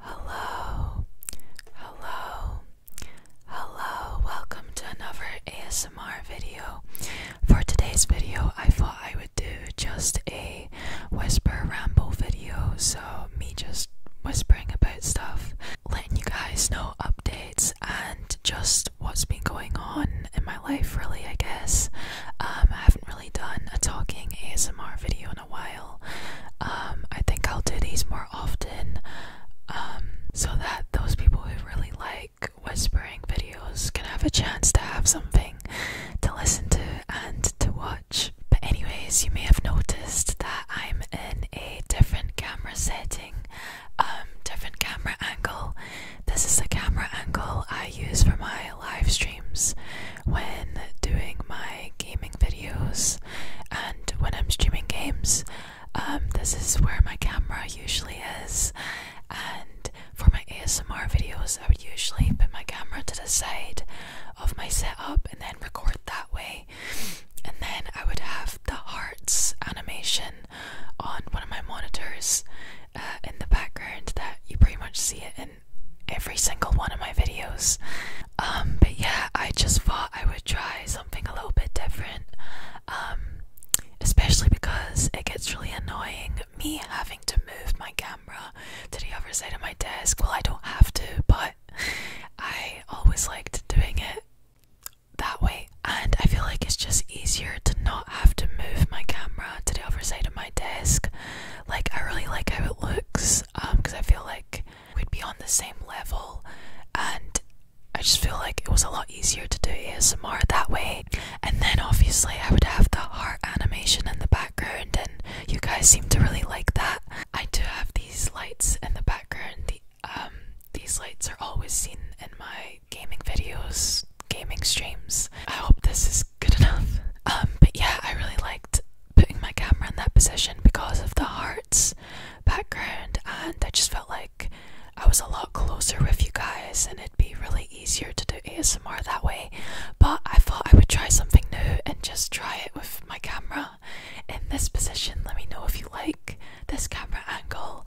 Hello, hello, hello, welcome to another ASMR video. For today's video, I thought I would do just a whisper ramble video, so me just whispering about stuff, letting you guys know updates and just what's been going on in my life, really, I guess. Um, I haven't really done a talking ASMR video a while. Um, I think I'll do these more often um, so that those people who really like whispering videos can have a chance to have something to listen to and to watch. But, anyways, you may have noticed that I'm in a different camera setting, um, different camera angle. This is the camera angle I use for my live streams, when doing my gaming videos and when I'm streaming games. Um, this is where my camera usually is, and for my ASMR videos, I would usually put my camera to the side of my setup and then record that way. And then I would have the hearts animation on one of my monitors uh, in the background that you pretty much see it in every single one of my videos. Um, but yeah, I just thought I would try something a little bit different, um, especially because it gets really annoying me having to move my camera to the other side of my desk. Well, I don't have to, but I always liked doing it that way, and I feel like it's just easier to not have to move my camera to the other side of my desk. Like, I really like how it looks, because um, I feel like we'd be on the same level, and I just feel like it was a lot easier to do ASMR that way. And then obviously, I would have the heart animation in the background, and you guys seem to really like that. I do have these lights in the background. The, um, these lights are always seen in my gaming videos, gaming streams. I hope this is good enough. Um, but yeah, I really liked putting my camera in that position because of the hearts background, and I just felt like I was a lot closer with you guys, and it'd be really easier to do ASMR that way. But I thought I would try something new and just try it with my camera in this position. Let me know if you like this camera angle.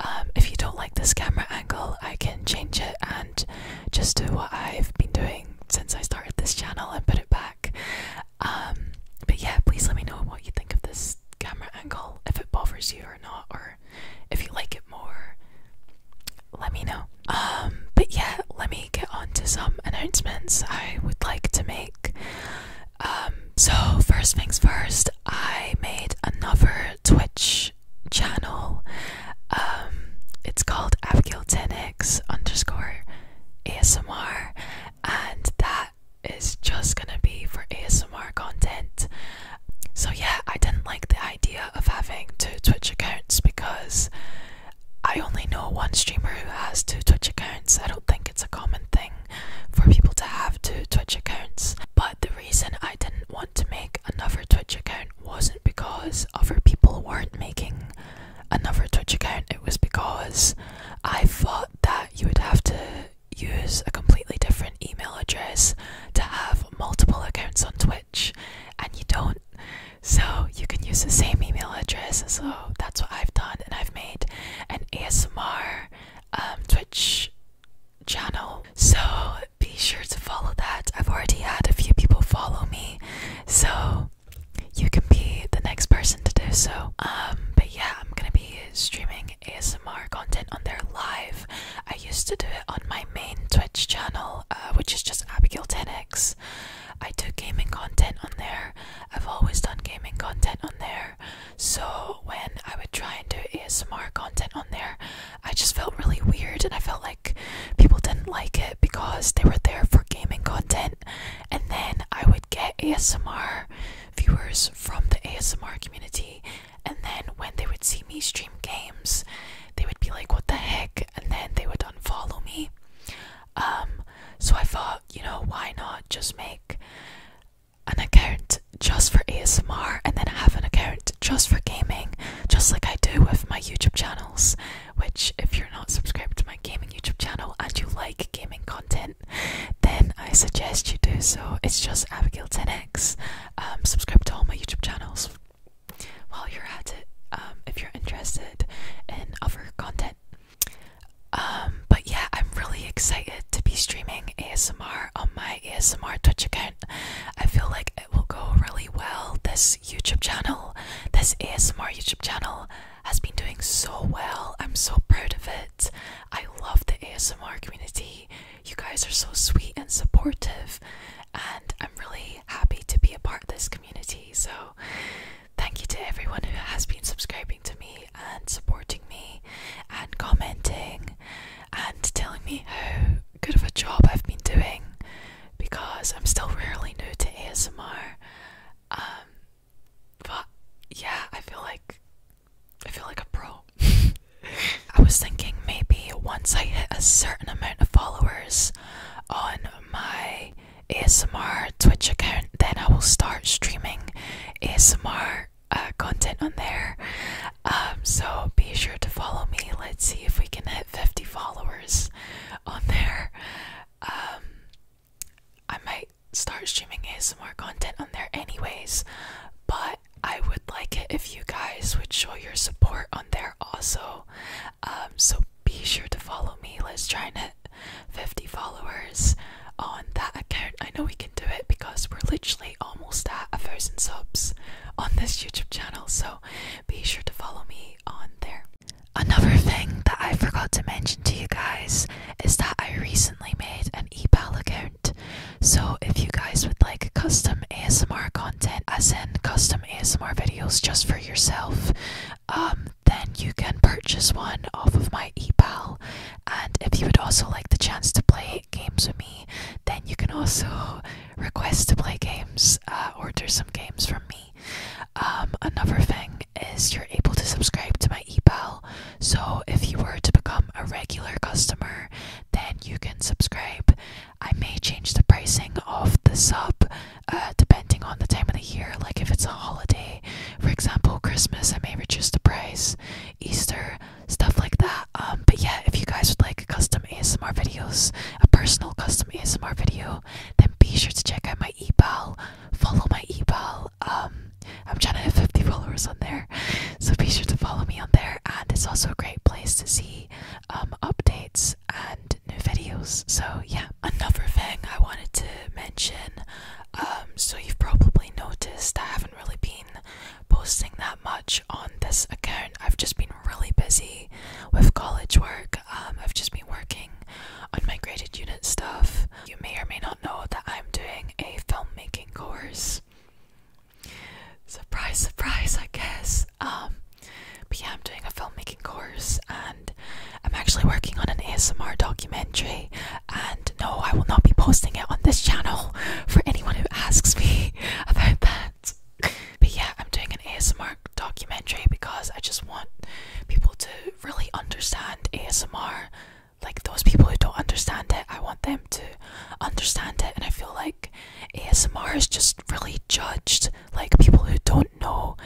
Um, if you don't like this camera angle, I can change it and just do what I've been doing since I started this channel and put it back. Um, but yeah, please let me know what you think of this camera angle, if it bothers you or not, or if you like it more. Let me know. Um, but yeah, let me get on to some announcements I would like to make. Um, so, first things first, I made another Twitch channel. it's called Abigail Tennant Alex underscore ASMR, and that is just gonna be for ASMR content. So, yeah, I didn't like the idea of having two Twitch accounts because I only know one streamer who has two Twitch accounts. I don't think it's a common thing for people to have two Twitch accounts, but the reason I didn't want to make another Twitch account wasn't because other people weren't making another Twitch account, it was because I thought that you would have to use a completely different email address to have multiple accounts on Twitch, and you don't. So you can use the same email address, so that's what I've done, and I've made an ASMR um, Twitch channel. So be sure to follow that. I've already had a few people follow me, so you can be the next person to do so. Um, but yeah, I'm gonna be streaming ASMR content on there live. I used to do it on my main Twitch channel, uh, which is just Abigail 10x. I do gaming content on there. I've always done gaming content on there. So when I would try and do ASMR content on there, I just felt really weird and I felt like people didn't like it because they were there for gaming content and then I would get ASMR viewers from the ASMR community and then when they would see me stream games they would be like what the heck and then they would unfollow me um, so I thought you know why not just make an account just for ASMR and then have an account just for gaming just like I do with my YouTube channels which if you're not subscribed to my gaming YouTube channel and you like gaming content, then I suggest you do so. It's just abigail 10 um, subscribe to all my YouTube channels. While you're at it, um, if you're interested in other content. Um, but yeah, I'm really excited to be streaming ASMR on my ASMR Twitch account. I feel like it will go really well this YouTube channel, this ASMR YouTube channel, has been doing so well. I'm so proud of it. I love the ASMR community. You guys are so sweet and supportive, and I'm really happy to be a part of this community. So, thank you to everyone who has been subscribing to me and supporting me and commenting and telling me how good of a job I've been doing because I'm still rarely new to ASMR. Um, but yeah, I feel like I feel like a pro. I was thinking maybe once I hit a certain amount of followers on my ASMR Twitch account, then I will start streaming ASMR uh, content on there. Um, so be sure to follow me. Let's see if we can hit 50 followers on there. Um, I might start streaming ASMR content on there, anyways. But I would like it if you guys would show your support on there also. Um, so be sure to follow me. Let's try and 50 followers on that account. I know we can do it because we're literally almost at a thousand subs on this YouTube channel. So be sure to follow me on there. Another thing that I forgot to mention to you guys is that I recently made an ePal account. So if you guys would like custom ASMR content, as in custom ASMR videos just for yourself, um, then you can purchase one off of my ePal. And if you would also like the chance to play games with me, then you can also Request to play games uh, order some games from me um, another thing is you're able to subscribe to my epal so if you were to become a regular customer then you can subscribe i may change the pricing of the sub uh, depending on the time of the year like if it's a holiday for example christmas i may reduce the price easter stuff like that um, but yeah if you guys would like custom asmr videos a personal custom ASMR video, then be sure to check out my ePal. Follow my ePal. Um, I'm trying to have 50 followers on there, so be sure to follow me on there. And it's also a great place to see um, updates and new videos. So yeah, another thing I wanted to mention. Um, so you've probably noticed I haven't really been posting that much on this account. I've just been really busy with college work. Um, I've just been working on my graded unit stuff. You may or may not know that I'm doing a filmmaking course. Surprise, surprise, I guess. Um, but yeah, I'm doing a filmmaking course and I'm actually working on an ASMR documentary. And no, I will not be posting it on this channel for anyone who asks me about that. But yeah, I'm doing an ASMR documentary because I just want people to really understand ASMR. Like those people who don't understand it, I want them to understand it. And I feel like ASMR is just really judged. Like people who don't know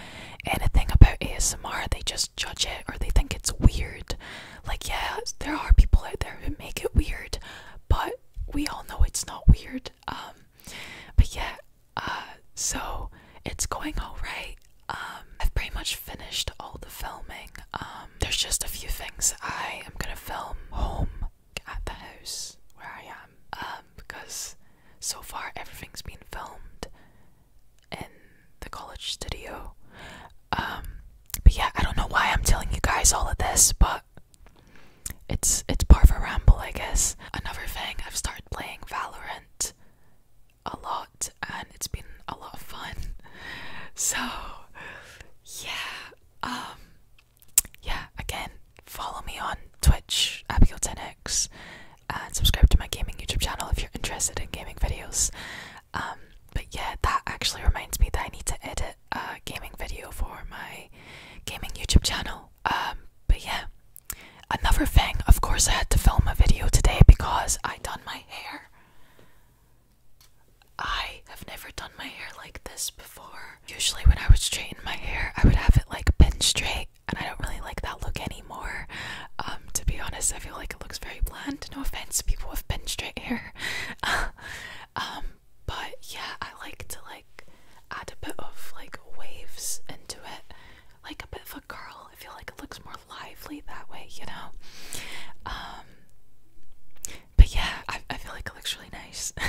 anything about ASMR, they just judge it or they think it's weird. Like, yeah, there are people out there who make it weird, but we all know it's not weird. Um, but yeah, uh, so it's going all right. Um, I've pretty much finished all the filming. Um, there's just a few things I am gonna film home at the house where I am. Um, because so far everything's been filmed in the college studio. but yeah, I don't know why I'm telling you guys all of this, but it's it's part of a ramble, I guess. Another thing, I've started playing Valorant a lot, and it's been a lot of fun. So, yeah, um, yeah. Again, follow me on Twitch, abigail 10 and subscribe to my gaming YouTube channel if you're interested in gaming videos. Um, but yeah, that actually reminds me that I need to edit a gaming video for my gaming YouTube channel. Um, but yeah. Another thing, of course I had to film a video today because I done my hair. I have never done my hair like this before. Usually when I would straighten my hair, I would have it like pin straight and I don't really like that look anymore. Um, to be honest, I feel like it looks very bland. No offense, people with pin straight hair. Um, but yeah, I like to like add a bit of like waves into it, like a bit of a curl. I feel like it looks more lively that way, you know. Um, but yeah, I, I feel like it looks really nice.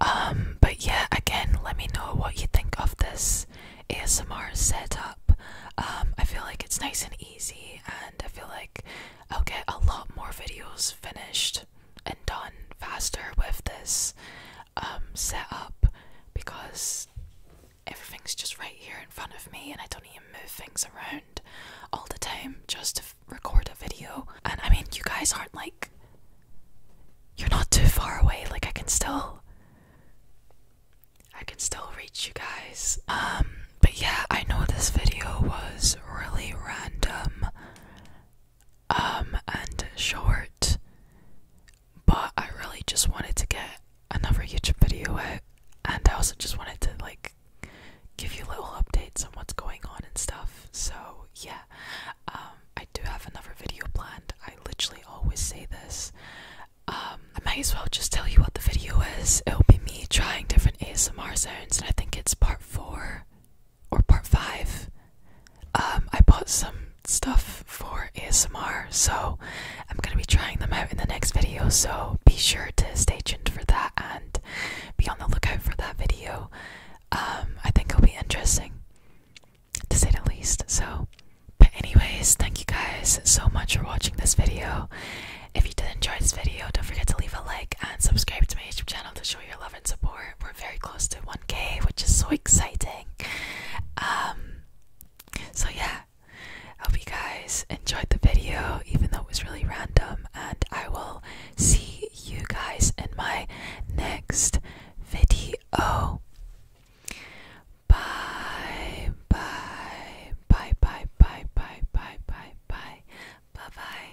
Um, but yeah, again, let me know what you think of this ASMR setup. Um, I feel like it's nice and easy, and I feel like I'll get a lot more videos finished and done faster with this um, setup because everything's just right here in front of me and I don't even move things around all the time just to record a video. And I mean, you guys aren't like. You're not too far away, like I can still. I can still reach you guys. Um, but yeah, I know this video was really random um, and short, but I really just wanted to get another YouTube video out, and I also just wanted to like give you little updates on what's going on and stuff. So yeah, um, I do have another video planned. I literally always say this. Um, I might as well just tell you what the video is. It'll be me trying different ASMR zones, and I think it's part four or part five, um, I bought some stuff for ASMR, so I'm gonna be trying them out in the next video. So be sure to stay tuned for that and be on the lookout for that video. Um, I think it'll be interesting to say the least. So, but, anyways, thank you guys so much for watching this video. If you did enjoy this video, don't forget to leave a like and subscribe to my YouTube channel to show your love and support we're we're very close to 1k which is so exciting um so yeah I hope you guys enjoyed the video even though it was really random and I will see you guys in my next video bye bye bye bye bye bye bye bye bye bye bye